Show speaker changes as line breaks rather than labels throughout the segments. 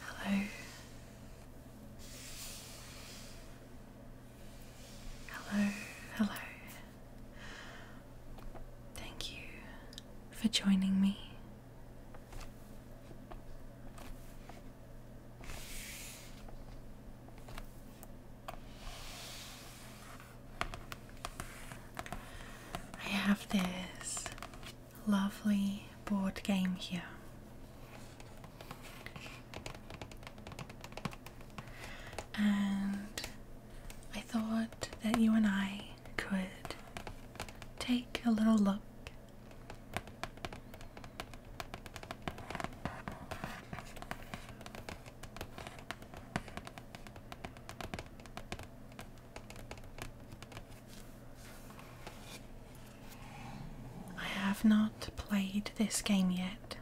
Hello. Hello, hello. Thank you for joining me. I have this lovely board game here. And I thought that you and I could take a little look I have not played this game yet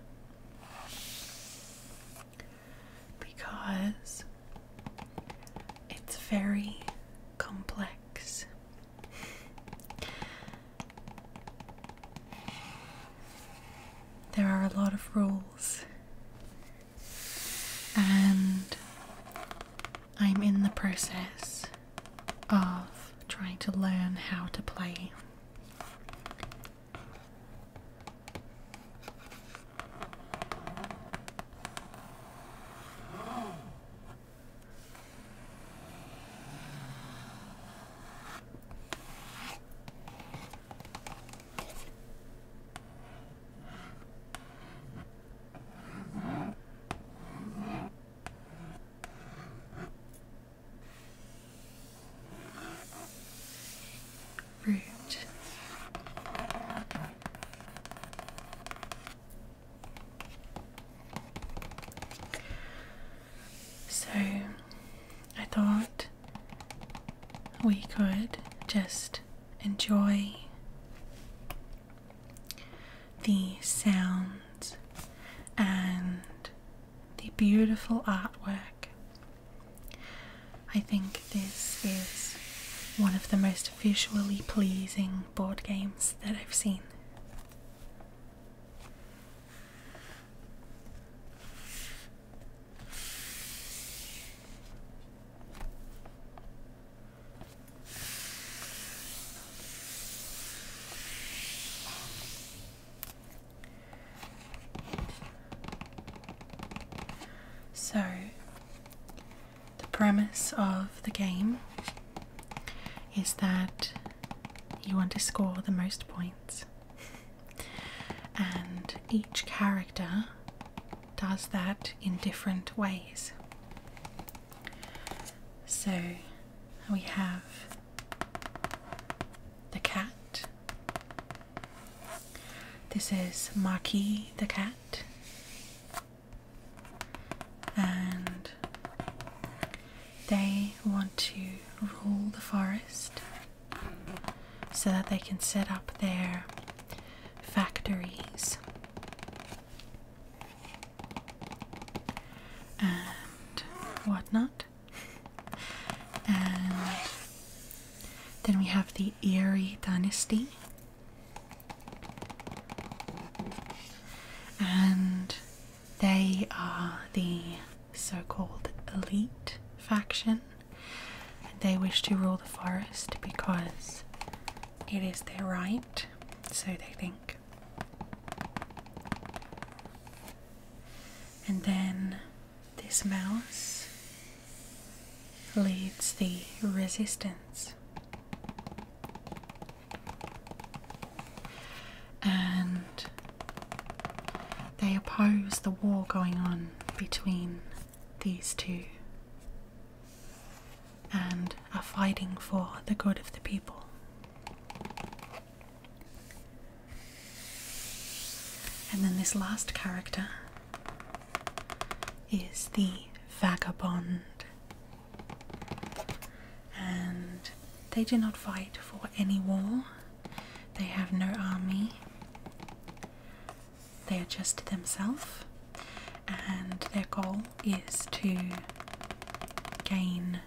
because it's very complex. There are a lot of rules. And I'm in the process of trying to learn how to play. Root. So I thought we could just enjoy the sounds and the beautiful artwork. I think this is one of the most visually pleasing board games that I've seen. So, the premise of the game is that you want to score the most points, and each character does that in different ways. So we have the cat. This is Maki the cat. And they want to rule the forest so that they can set up there factories. And whatnot. And then we have the Erie Dynasty. And they are the so called elite faction they wish to rule the forest because it is their right, so they think. And then this mouse leads the resistance. And they oppose the war going on between these two and are fighting for the good of the people. And then this last character is the vagabond. And they do not fight for any war, they have no army they adjust themselves and their goal is to gain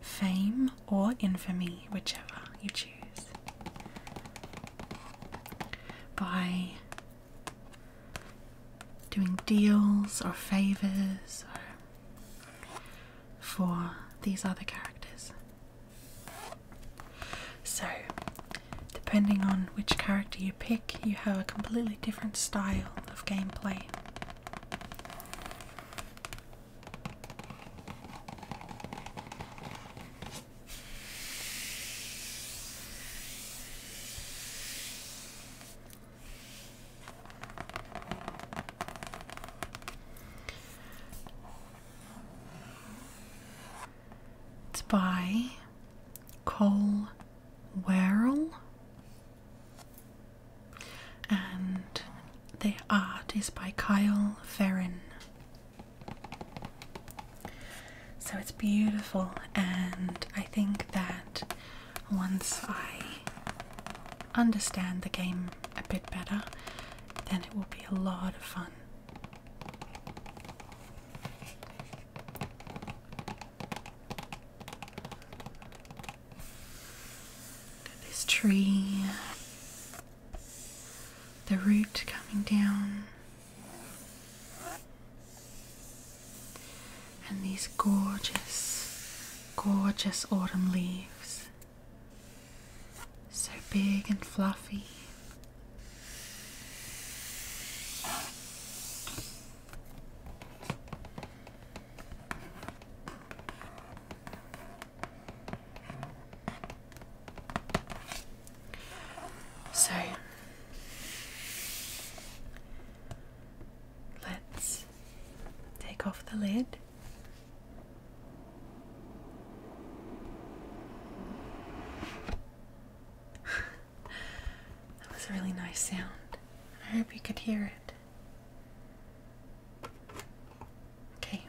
fame or infamy, whichever you choose, by doing deals or favors for these other characters. So, depending on which character you pick, you have a completely different style of gameplay. It's by Cole Werrell, and the art is by Kyle Ferrin. So it's beautiful, and I think that once I understand the game a bit better, then it will be a lot of fun this tree, the root coming down, and these gorgeous, gorgeous autumn leaves, so big and fluffy. So let's take off the lid that was a really nice sound. I hope you could hear it. Okay.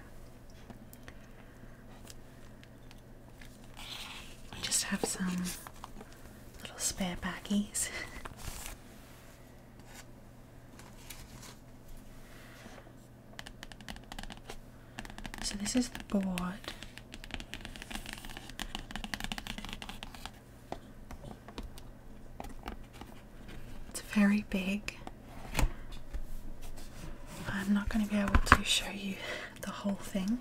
I just have some little spare baggies. So this is the board. It's very big. I'm not going to be able to show you the whole thing.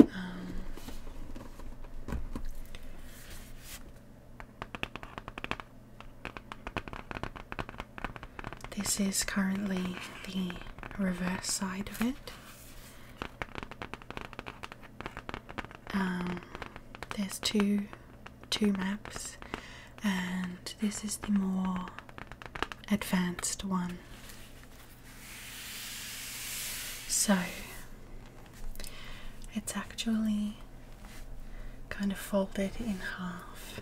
Um, this is currently the reverse side of it. Um, there's two two maps, and this is the more advanced one. So it's actually kind of folded in half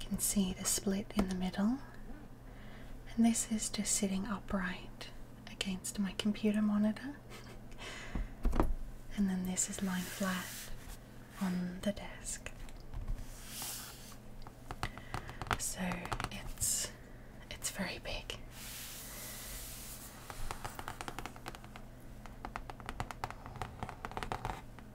you can see the split in the middle, and this is just sitting upright against my computer monitor, and then this is lying flat on the desk. So it's it's very big.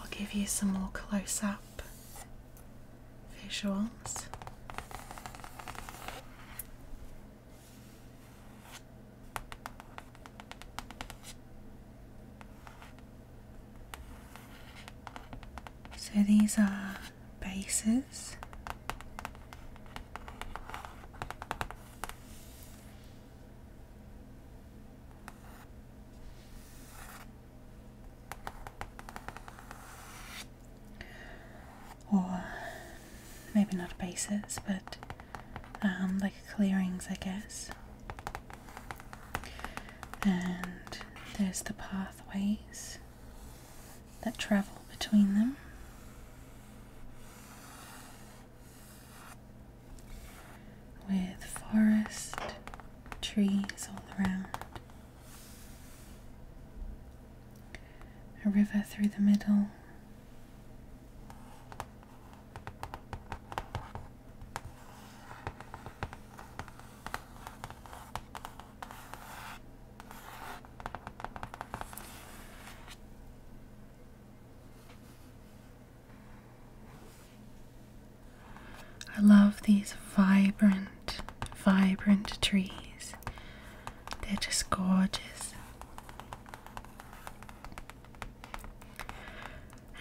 I'll give you some more close up visuals. So these are bases or maybe not bases, but um, like clearings, I guess. And there's the pathways that travel between them. With forest, trees all around, a river through the middle, I love these vibrant, vibrant trees. They're just gorgeous.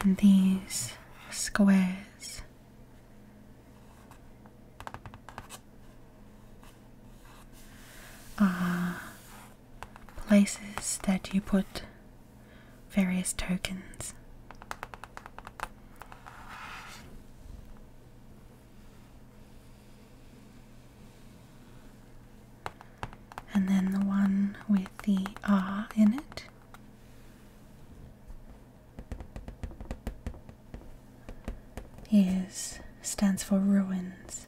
And these squares are uh, places that you put various tokens. And then the one with the R in it is stands for ruins.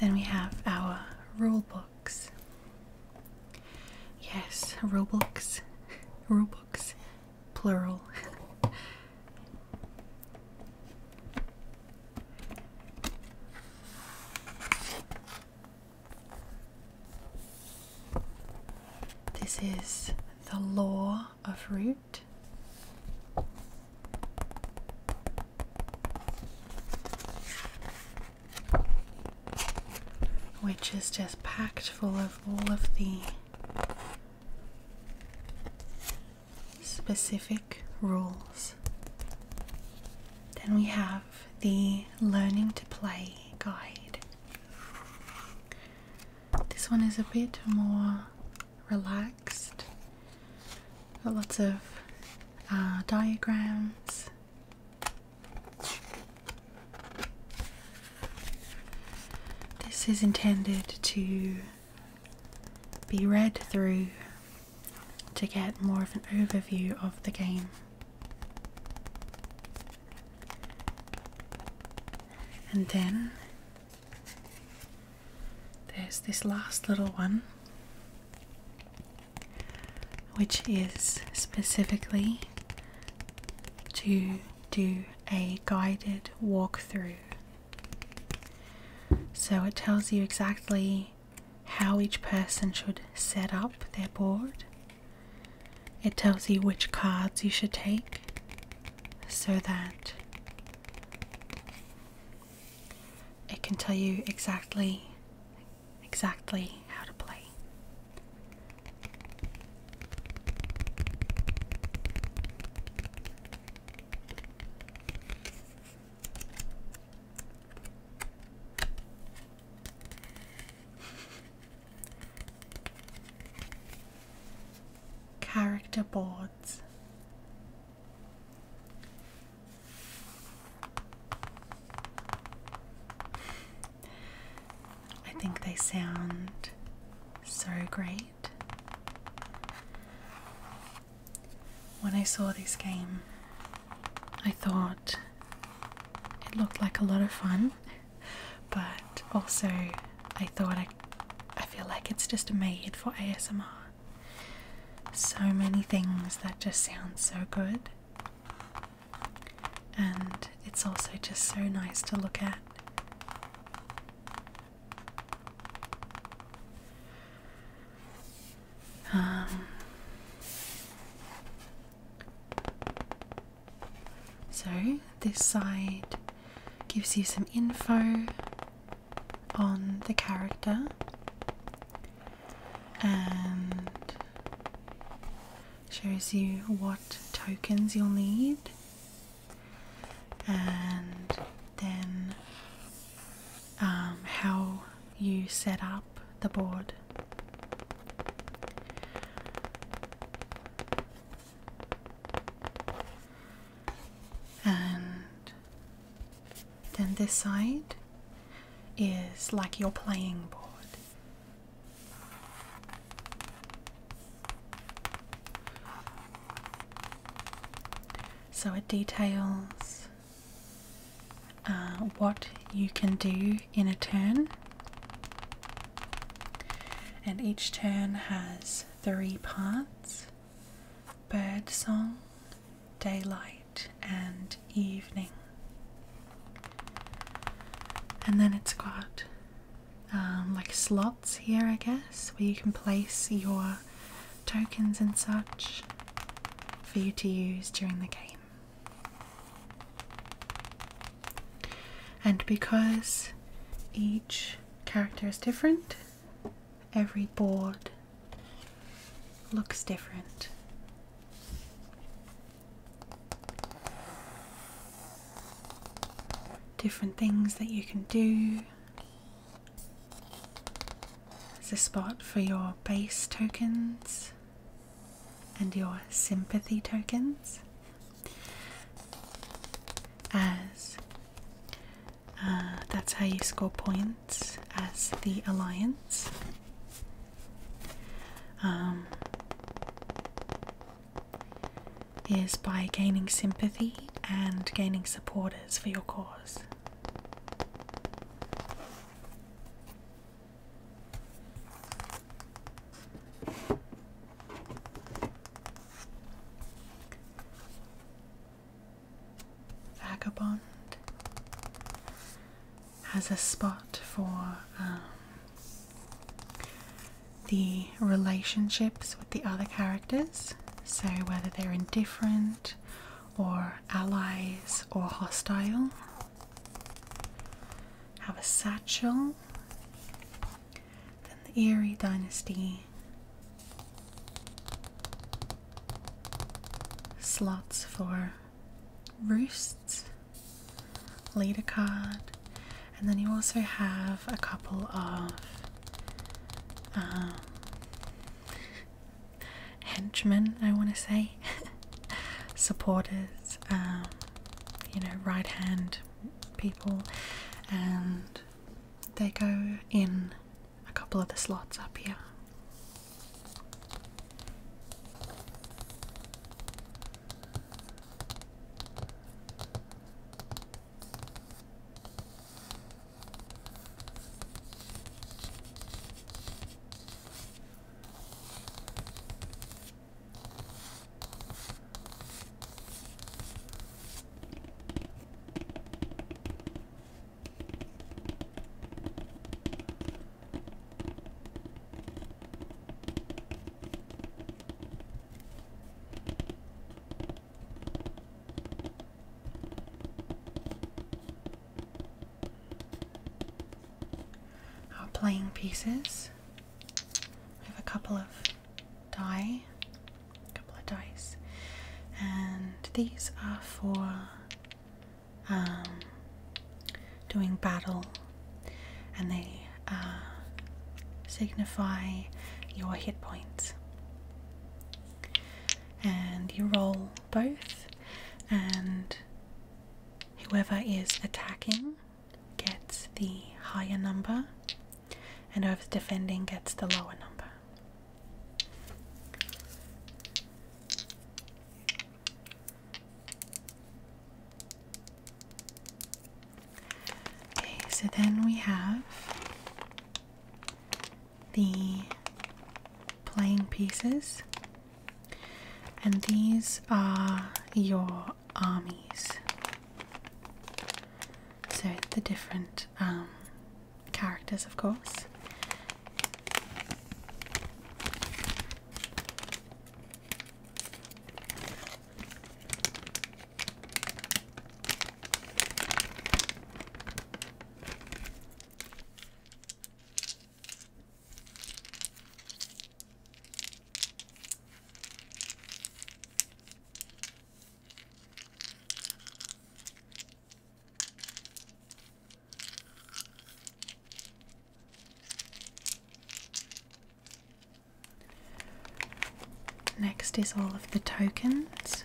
Then we have our rule books. Yes, rule books. Rule books, plural. this is the law of root. Which is just packed full of all of the specific rules. Then we have the Learning to Play guide. This one is a bit more relaxed. lots of uh, diagrams. This is intended to be read through to get more of an overview of the game. And then there's this last little one, which is specifically to do a guided walkthrough. So it tells you exactly how each person should set up their board. It tells you which cards you should take so that it can tell you exactly exactly how to play character boards. I think they sound so great. When I saw this game, I thought it looked like a lot of fun, but also I thought I I feel like it's just made for ASMR. So many things that just sound so good. And it's also just so nice to look at. Um, so, this side gives you some info on the character and shows you what tokens you'll need and then um, how you set up the board. And then this side is like your playing board. So it details uh, what you can do in a turn, and each turn has three parts bird song, daylight, and evening. And then it's got um, like slots here, I guess, where you can place your tokens and such for you to use during the game. And because each character is different, every board looks different. Different things that you can do. There's a spot for your base tokens and your sympathy tokens. As uh, that's how you score points as the alliance. Um, is by gaining sympathy and gaining supporters for your cause. Vagabond has a spot for um, the relationships with the other characters, so whether they're indifferent or allies or hostile. Have a satchel then the Erie Dynasty. Slots for roosts, leader card, and then you also have a couple of um, henchmen, I want to say, supporters, um, you know, right hand people, and they go in a couple of the slots up here. Our playing pieces. We have a couple of die, a couple of dice, and these are for um, doing battle, and they uh, signify your hit points. And you roll both, and whoever is attacking gets the higher number and whoever's defending gets the lower number. Okay, so then we have the playing pieces, and these are your armies. So, the different um, characters, of course. Next is all of the tokens.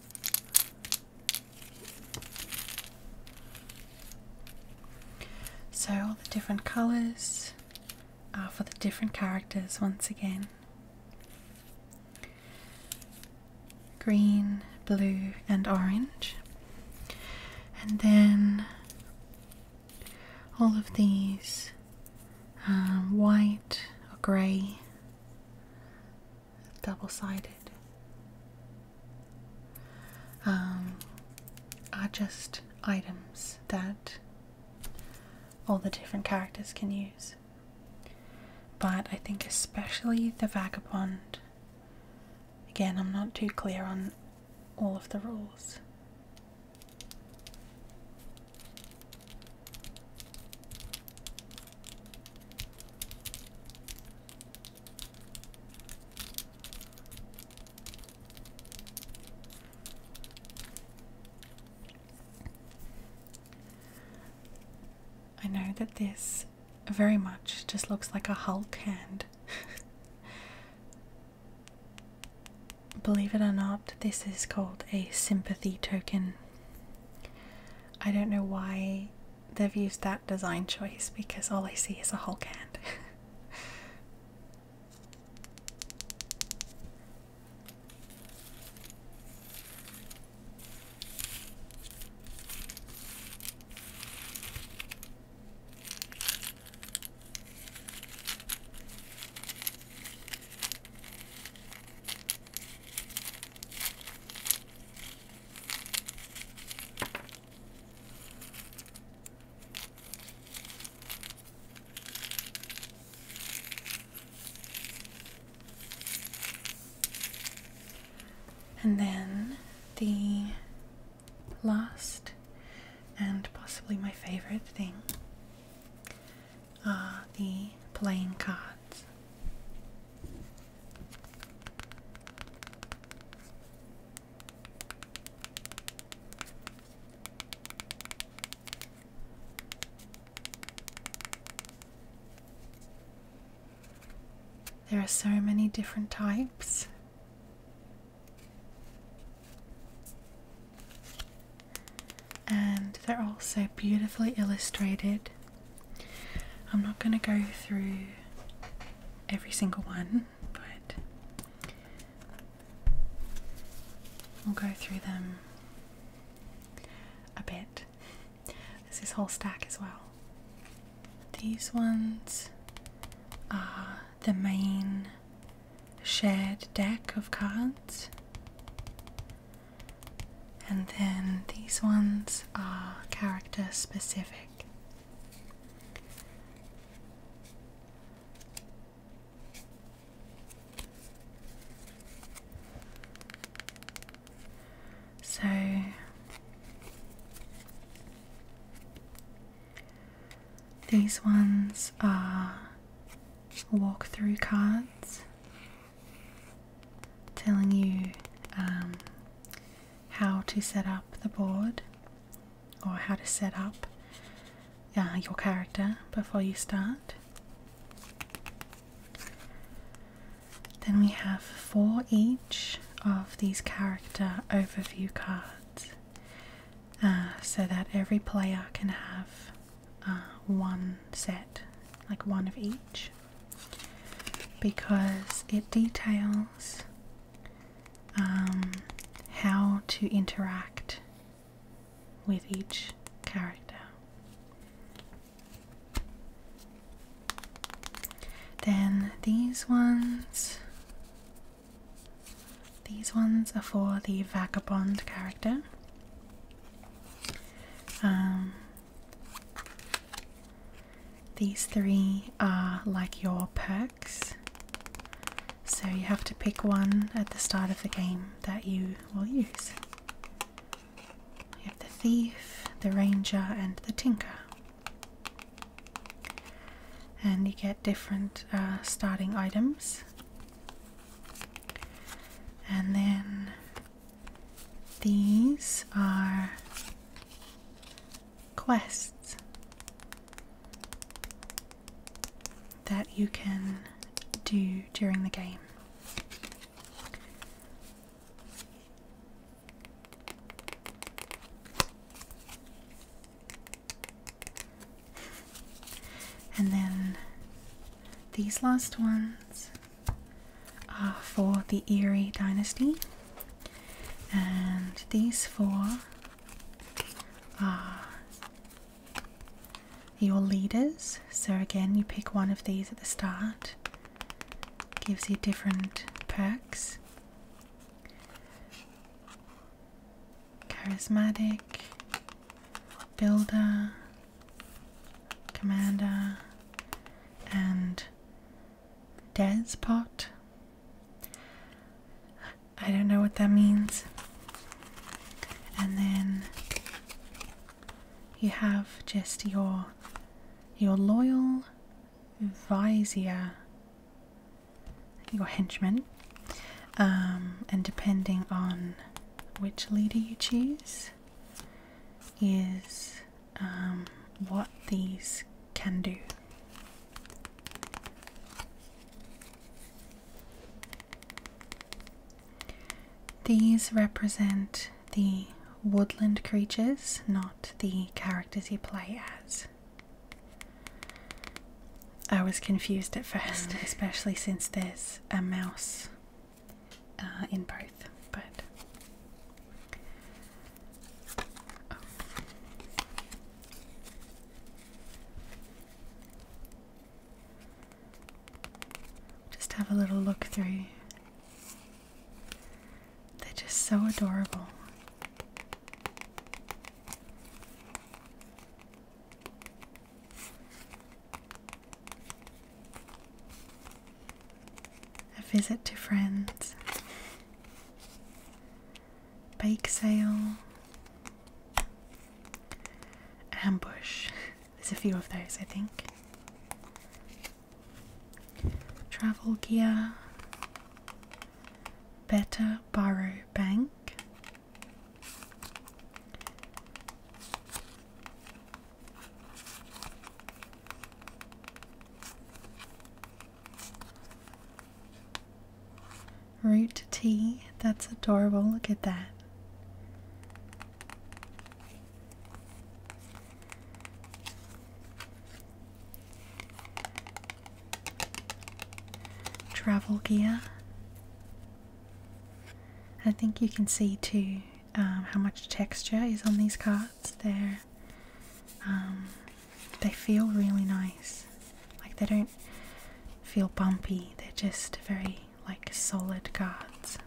So, all the different colours are for the different characters once again green, blue, and orange. And then all of these um, white or grey double sided. Um, are just items that all the different characters can use. But I think, especially the vagabond, again, I'm not too clear on all of the rules. I know that this very much just looks like a Hulk hand. Believe it or not, this is called a sympathy token. I don't know why they've used that design choice because all I see is a Hulk hand. And then the last and possibly my favorite thing uh, the playing cards. There are so many different types and they're also beautifully illustrated. I'm not going to go through every single one, but we'll go through them a bit. There's this whole stack as well. These ones are the main shared deck of cards. And then these ones are character specific. So these ones are walkthrough cards telling you um, how to set up the board or how to set up uh, your character before you start. Then we have four each of these character overview cards uh, so that every player can have uh, one set, like one of each, because it details um, how to interact with each character. Then these ones. These ones are for the vagabond character. Um, these three are like your perks. So you have to pick one at the start of the game that you will use. You have the thief, the ranger, and the tinker. And you get different uh, starting items. And then these are quests that you can do during the game. And then these last ones are for the Erie dynasty, and these four are your leaders. So, again, you pick one of these at the start, gives you different perks. Charismatic, builder, Commander, and Despot. I don't know what that means. And then you have just your your loyal vizier, your henchman, um, and depending on which leader you choose, is um, what these can do. These represent the woodland creatures, not the characters you play as. I was confused at first, mm. especially since there's a mouse uh, in both, but oh. just have a little look through. They're just so adorable. A visit to friends, bake sale, ambush. There's a few of those, I think. Travel gear, better borrow bank. Root tea. That's adorable. Look at that. Travel gear. I think you can see too um, how much texture is on these cards. They're um, they feel really nice. Like they don't feel bumpy. They're just very like solid cards.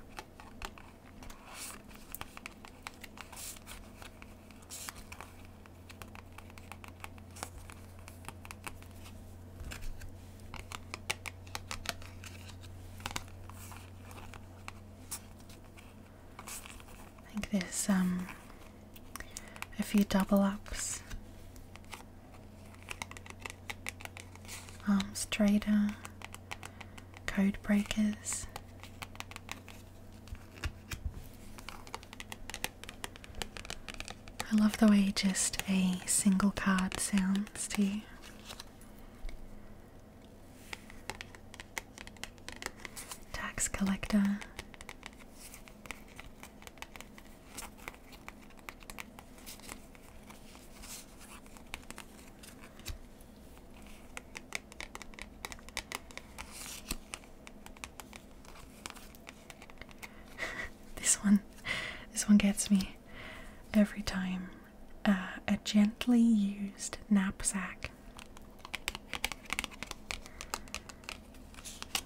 I think there's um a few double ups. Arms um, trader, code breakers. I love the way just a single card sounds to you. Tax collector. this one this one gets me every time a gently used knapsack.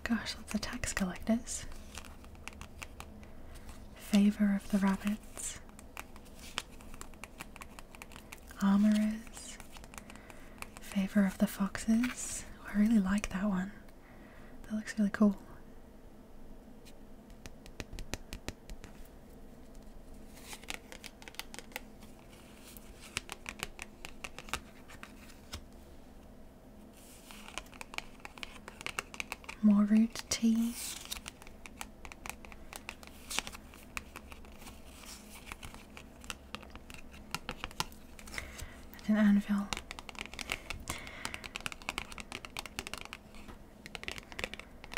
Gosh, lots of tax collectors. Favor of the rabbits. Armorers. Favor of the foxes. I really like that one. That looks really cool. More root tea. an anvil.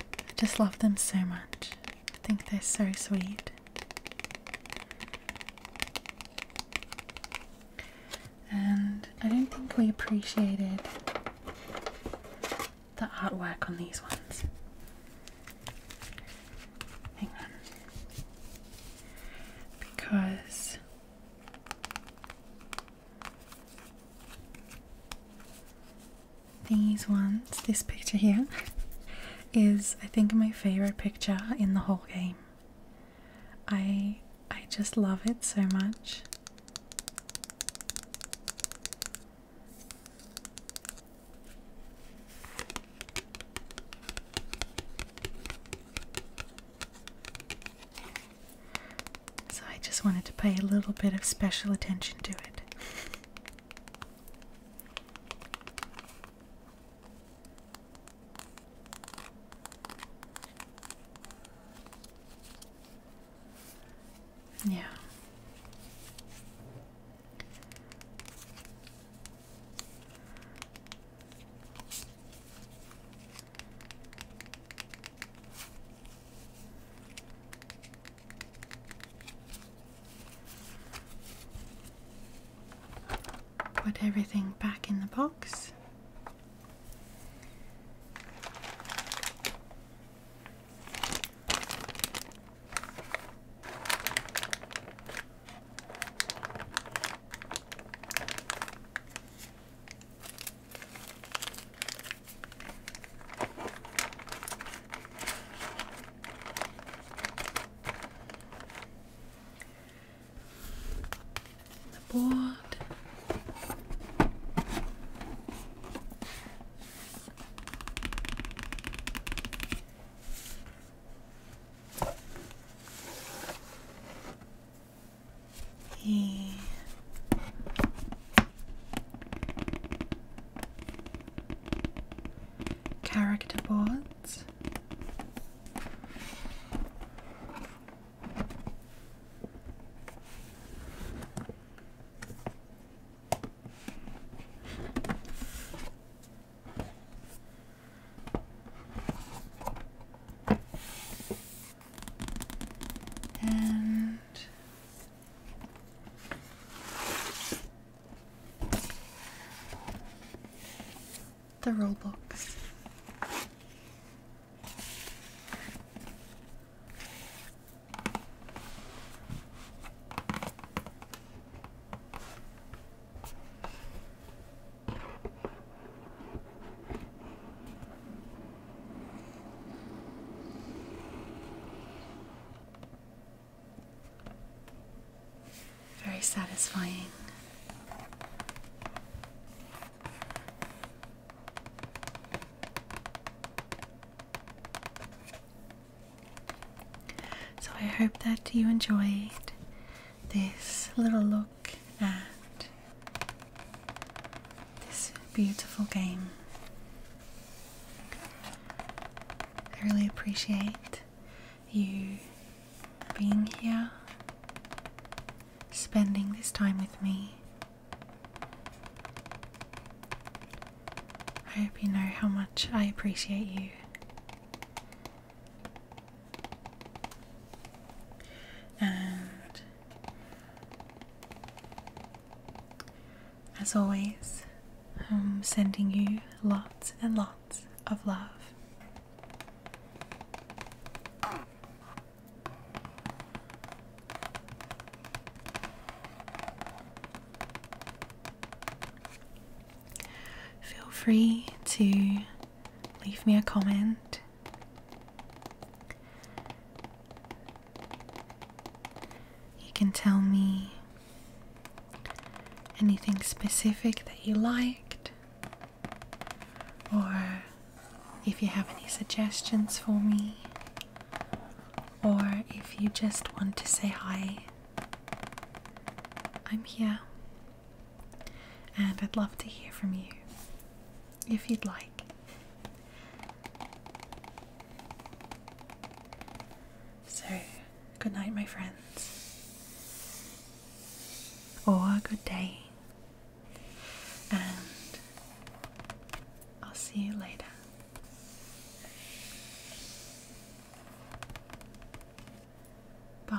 I just love them so much. I think they're so sweet. And I don't think we appreciated the artwork on these ones. Hang on. Because these ones, this picture here, is I think my favorite picture in the whole game. I I just love it so much. So I just wanted to pay a little bit of special attention to it. Yeah. Put everything back in the box. The board. The character boards and the rule books. Very satisfying. So, I hope that you enjoyed this little look at this beautiful game. I really appreciate you being here, spending this time with me. I hope you know how much I appreciate you. And as always, I'm sending you lots and lots of love. Feel free to leave me a comment you can tell me anything specific that you liked, or if you have any suggestions for me, or if you just want to say hi. I'm here, and I'd love to hear from you if you'd like. So, good night, my friends. Or good day. And I'll see you later. Bye.